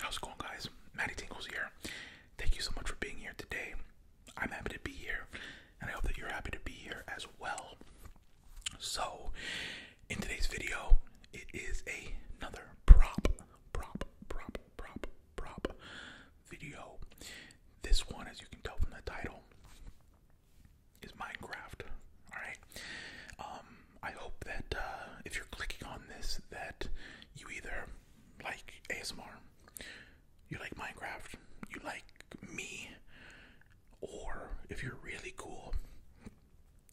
How's it going, guys? Maddie Tingles here. Thank you so much for being here today. I'm happy to be here, and I hope that you're happy to be here as well. So, in today's video, it is a, another prop, prop, prop, prop, prop video. This one, as you can tell from the title, is Minecraft. All right. Um, I hope that uh, if you're clicking on this, that you either like ASMR, you like Minecraft, you like me, or if you're really cool,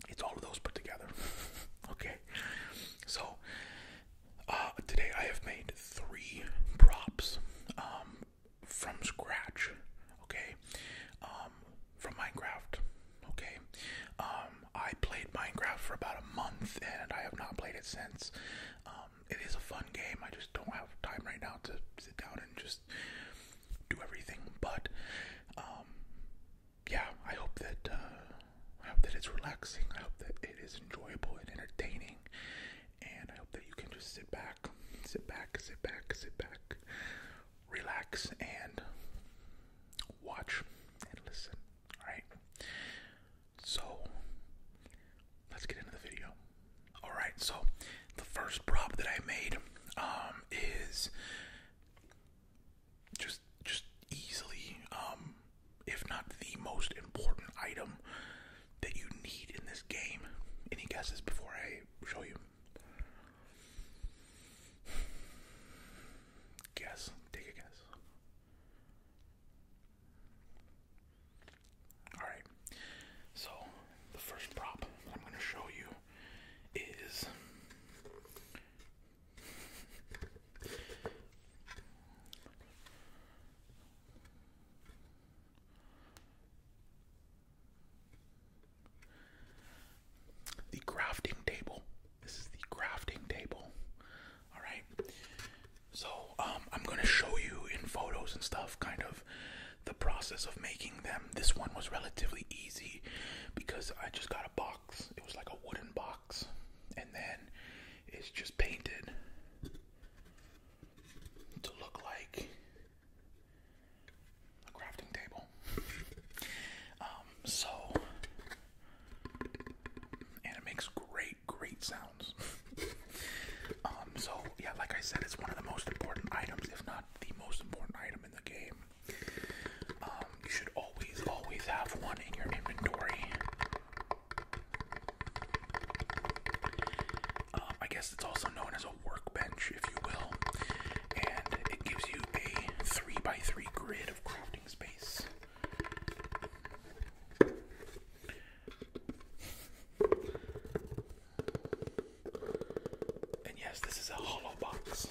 it's all of those put together. okay. So uh, today I have made three props um, from scratch, okay, um, from Minecraft, okay. Um, I played Minecraft for about a month and I have not played it since. Um, it is a fun game, I just don't have time right now to sit down and just do everything, but um, yeah, I hope that uh, I hope that it's relaxing. I hope that it is enjoyable and entertaining. And I hope that you can just sit back, sit back, sit back, sit back, relax, and watch and listen. Alright? So, let's get into the video. Alright, so the first prop that I made um, is just just easily um, if not the most important item that you need in this game. Any guesses before I show you? Guess. Take a guess. Alright. So the first prop that I'm gonna show you is the grafting table. This is the grafting table. All right. So um, I'm gonna show you in photos and stuff, kind of the process of making them. This one was relatively easy because I just got a box. It was like a wooden box, and then it's just painted to look like a crafting table. Um, so, and it makes great, great sounds. Um, so, yeah, like I said, it's one of the most important items, if not the most important item in the game. Um, you should always, always have one in your inventory. Um, I guess it's also known as a workbench, if you will, and it gives you a 3x3 grid of crafting space. And yes, this is a hollow box.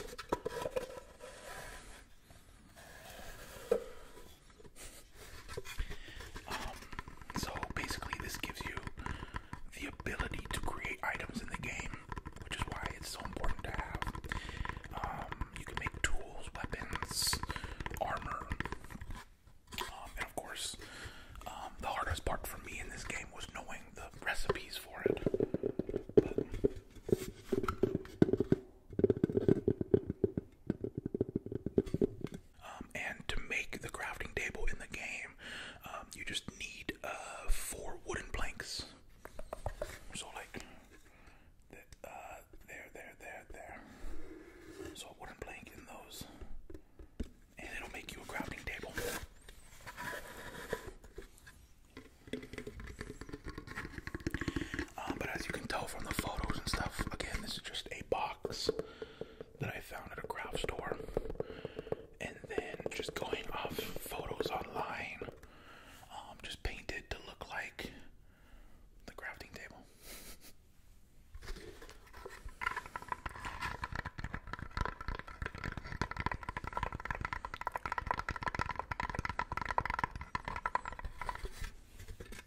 Um, so basically, this gives you the ability to create items in the game, which is why it's so important to have. Um, you can make tools, weapons, armor, um, and of course, um, the hardest part for me in this game was knowing the recipes for it. But um, and to make the crafting table in the game, um, you just need uh, four wooden planks. So, like, the, uh, there, there, there, there. So, wooden plank in those, and it'll make you a crafting table. Uh, but as you can tell from the photos and stuff, again, this is just a box that I found at a craft store. And then just going off photos online, um, just painted to look like the crafting table.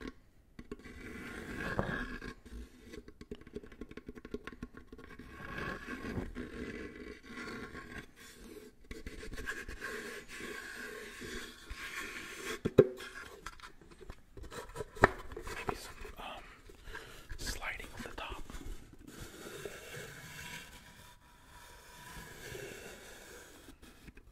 Maybe some um, sliding on the top.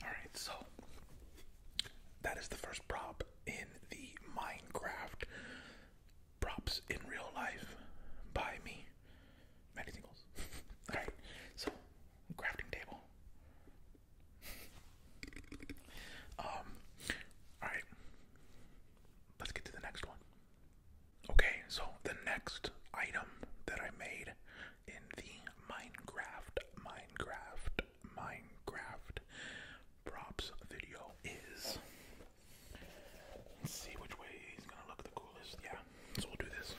All right, so that is the first prop in the Minecraft props in real life by me. Many tingles. All right, so crafting table. um, alright. Let's get to the next one. Okay, so the next item that I made in the Minecraft, Minecraft, Minecraft props video is. Let's see which way he's gonna look the coolest. Yeah, so we'll do this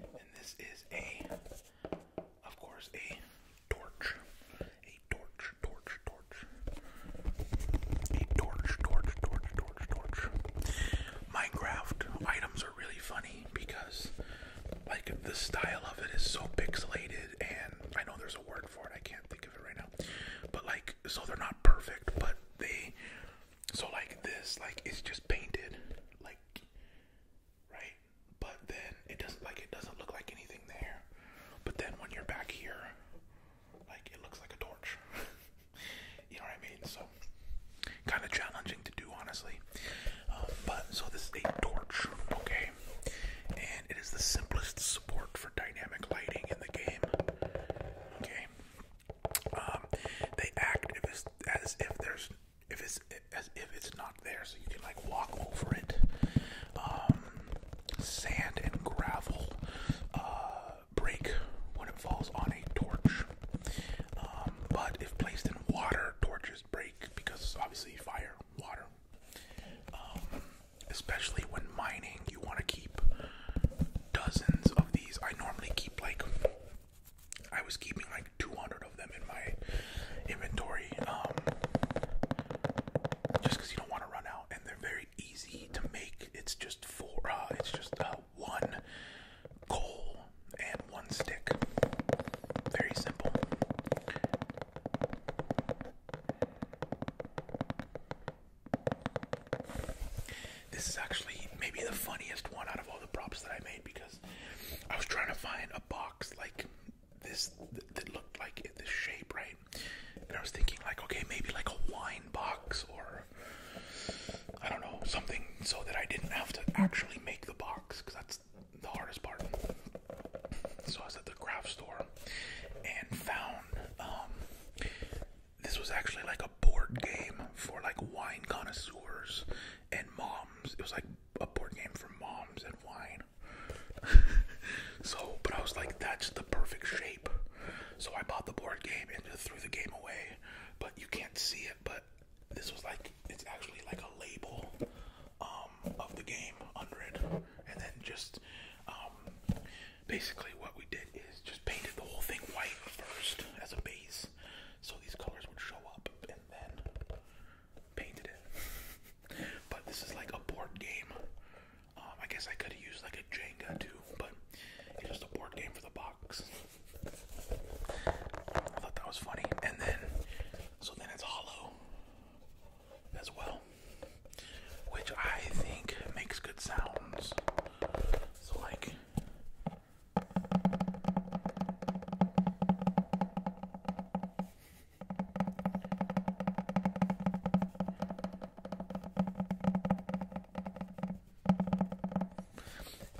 and this is a, of course, a torch. A torch, torch, torch. A torch, torch, torch, torch, torch. Minecraft items are really funny because, like, the style of it is so pixelated, and I know there's a word I can't think of it right now. But like, so they're not perfect, but they. So like this, like it's just painted, like, right? But then it doesn't like it doesn't look like anything there. But then when you're back here, like it looks like a torch. you know what I mean? So kind of challenging to do, honestly. Um, but so this is a torch, okay? it is the simplest support for dynamic lighting in the game. Okay, um, they act as if there's if it's as if it's not there, so you can like walk over it. Um, sand and gravel uh, break when it falls on a torch, um, but if placed in water, torches break because obviously fire, water, um, especially when mining, you want to keep dozens of these. I normally keep like I was keeping like 200 of them in my inventory, um, just because you don't want to run out, and they're very easy to make. It's just four. Uh, it's just uh, one coal and one stick. Very simple. This is actually maybe the funniest one out of all the props that I made because I was trying to find a box like this that looked like this shape, right? And I was thinking like, okay, maybe like a wine box or I don't know, something so that I didn't have to actually make the box because that's the hardest part. So I was at the craft store and found um, this was actually like a board game for like wine connoisseurs and moms. It was like a board game for moms and wine. so, but I was like, that's the perfect shape. So I bought the board game and threw the game away. But you can't see it, but this was like, it's actually like a label um, of the game under it and then just um, basically what we did is just painted the whole thing white first as a base, so these colors would show up, and then painted it. but this is like a board game. Um, I guess I could have used like a Jenga too, but it's just a board game for the box. I thought that was funny, and then so then it's hollow as well, which I think makes good sounds. So, like,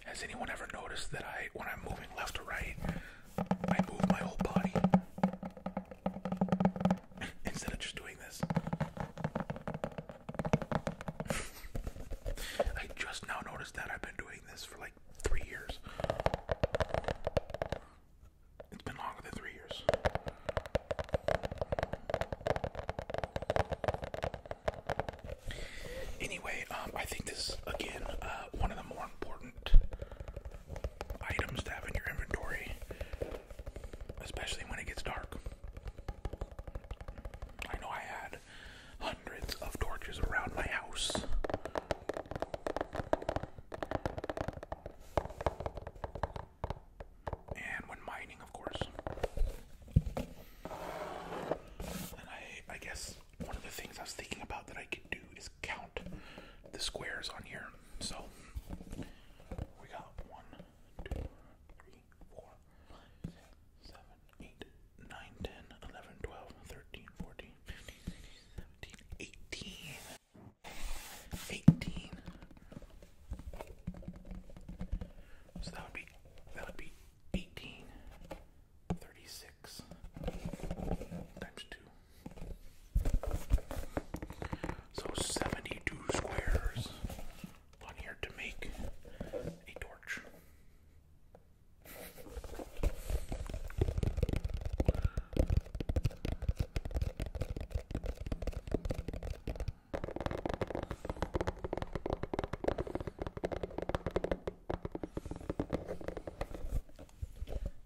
has anyone ever noticed that I, when I'm moving left or right, I move my whole body instead of just doing this. I just now noticed that I've been doing this for like three years. It's been longer than three years. Anyway, um, I think this is again uh, one of the more important items to have in your inventory, especially when it gets dark. I know I had hundreds of torches around my house. And when mining, of course. And I guess one of the things I was thinking about that I could do is count the squares on here. So we got one, two, three, four, five, six, seven, eight, nine, ten, eleven, twelve, thirteen, fourteen, fifteen, sixteen, seventeen, eighteen. so that would be that would be 18 times 2 so 72 squares on here to make a torch.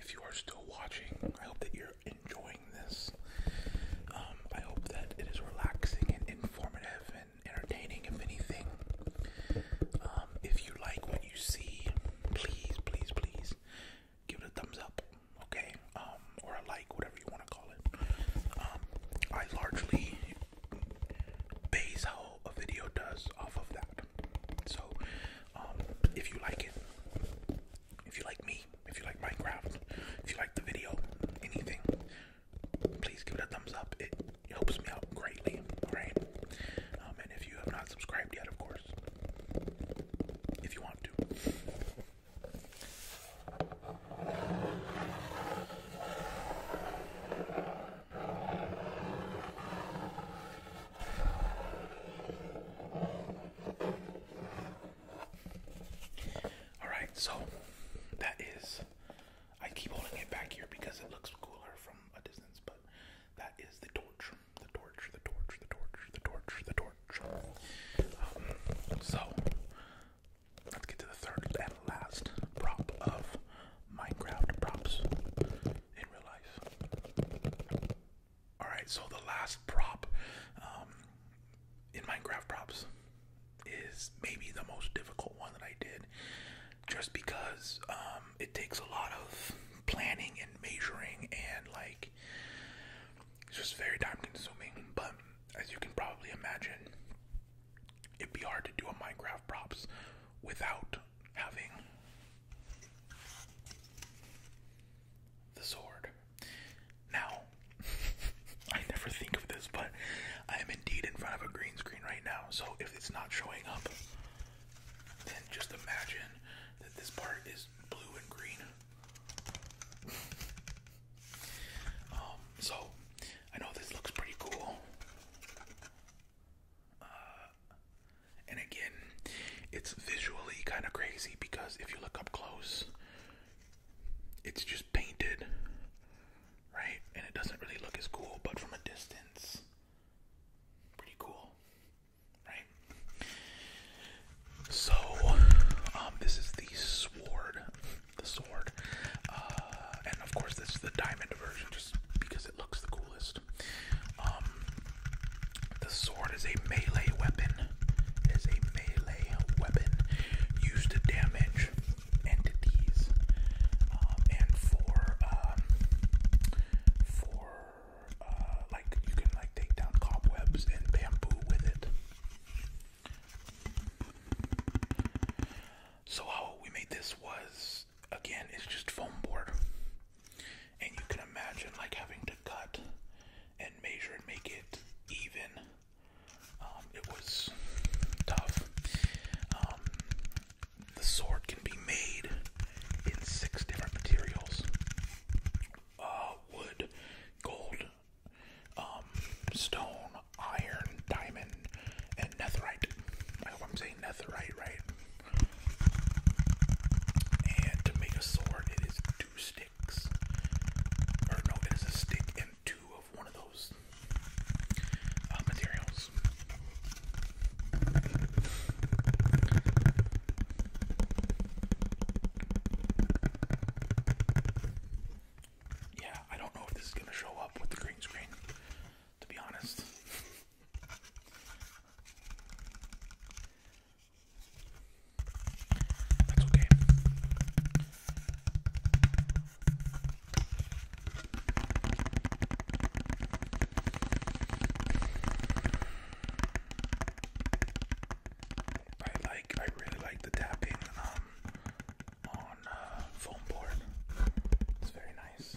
If you are still watching, I hope that you're enjoying this. Um, I hope that it is relaxing and informative and entertaining, if anything. Um, if you like what you see, please, please, please give it a thumbs up, okay? Um, or a like, whatever you want to call it. Um, I largely base how a video does off of that. So, um, if you like it, if you like me, if you like Minecraft, if you like the video, anything, please give it a thumbs up. It helps me out greatly, alright? and if you have not subscribed yet, of course, if you want to. Alright, so that is. I keep holding it back here because it looks cooler from a distance, but that is the torch the torch, the torch, the torch, the torch, the torch. Um, so let's get to the third and last prop of Minecraft props in real life. Alright, so the last prop um, in Minecraft props is maybe the most difficult one that I did just because um, it takes a lot of planning and measuring and like it's just very time consuming, but as you can probably imagine, it'd be hard to do a Minecraft props without having the sword. Now, I never think of this, but I am indeed in front of a green screen right now, so if it's not showing up, then just imagine that this part is blue and green. Um, so I know this looks pretty cool. Uh, and again, it's visually kind of crazy because if you look up close, it's just painted, right? And it doesn't really look as cool, but from a distance, pretty cool right? So, um, this is the sword, the sword, uh, and of course this is the diamond version, just because it looks the coolest. Um, the sword is a melee weapon. It is a melee weapon used to damage entities, um, and for for uh, like you can like take down cobwebs and bamboo with it. So how we made this was again it's just foam board. And you can imagine like having to cut and measure and make it even. Um, it was tough. Um, the sword can be made in six different materials. Uh, wood, gold, um, stone, iron, diamond, and netherite. I hope I'm saying netherite right. And to make a sword, it is two sticks. Or no, it is a stick and two of one of those uh, materials. Yeah, I don't know if this is gonna show up with the green screen, to be honest. That's okay. I like, I really like the tapping um, on uh, foam board. It's very nice.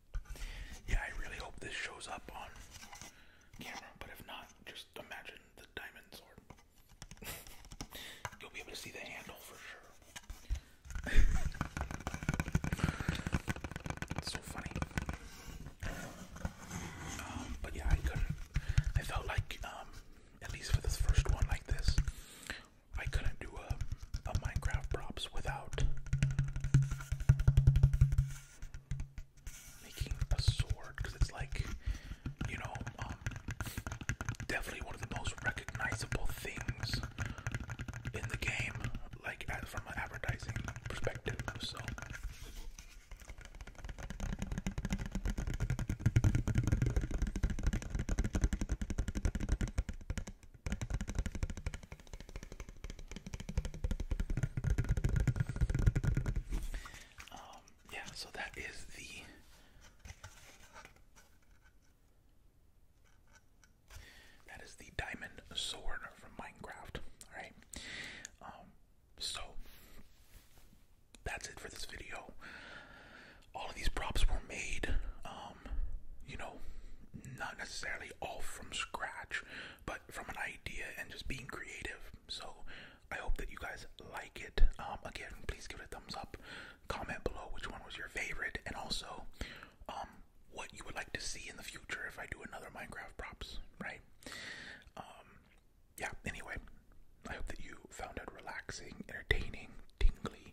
Yeah, I really hope this shows up on camera, but if not, just imagine the diamond sword. You'll be able to see the handle for sure. it's so funny. Um, but yeah, I felt like, um, at least for this first one like this, I couldn't do a, a Minecraft props without making a sword because it's like, you know, um, definitely one of the most recognizable things in the game, like from an advertising perspective. So. Um, yeah, so that is the that is the diamond sword from Minecraft. All right. Um, so that's it for this video. All of these props were made. Um, um, you know, not necessarily all from scratch, but from an idea and just being creative. So I hope that you guys like it. Um, again, please give it a thumbs up. Comment below which one was your favorite, and also um, what you would like to see in the future if I do another Minecraft props, right? yeah, anyway, I hope that you found it relaxing, entertaining, tingly,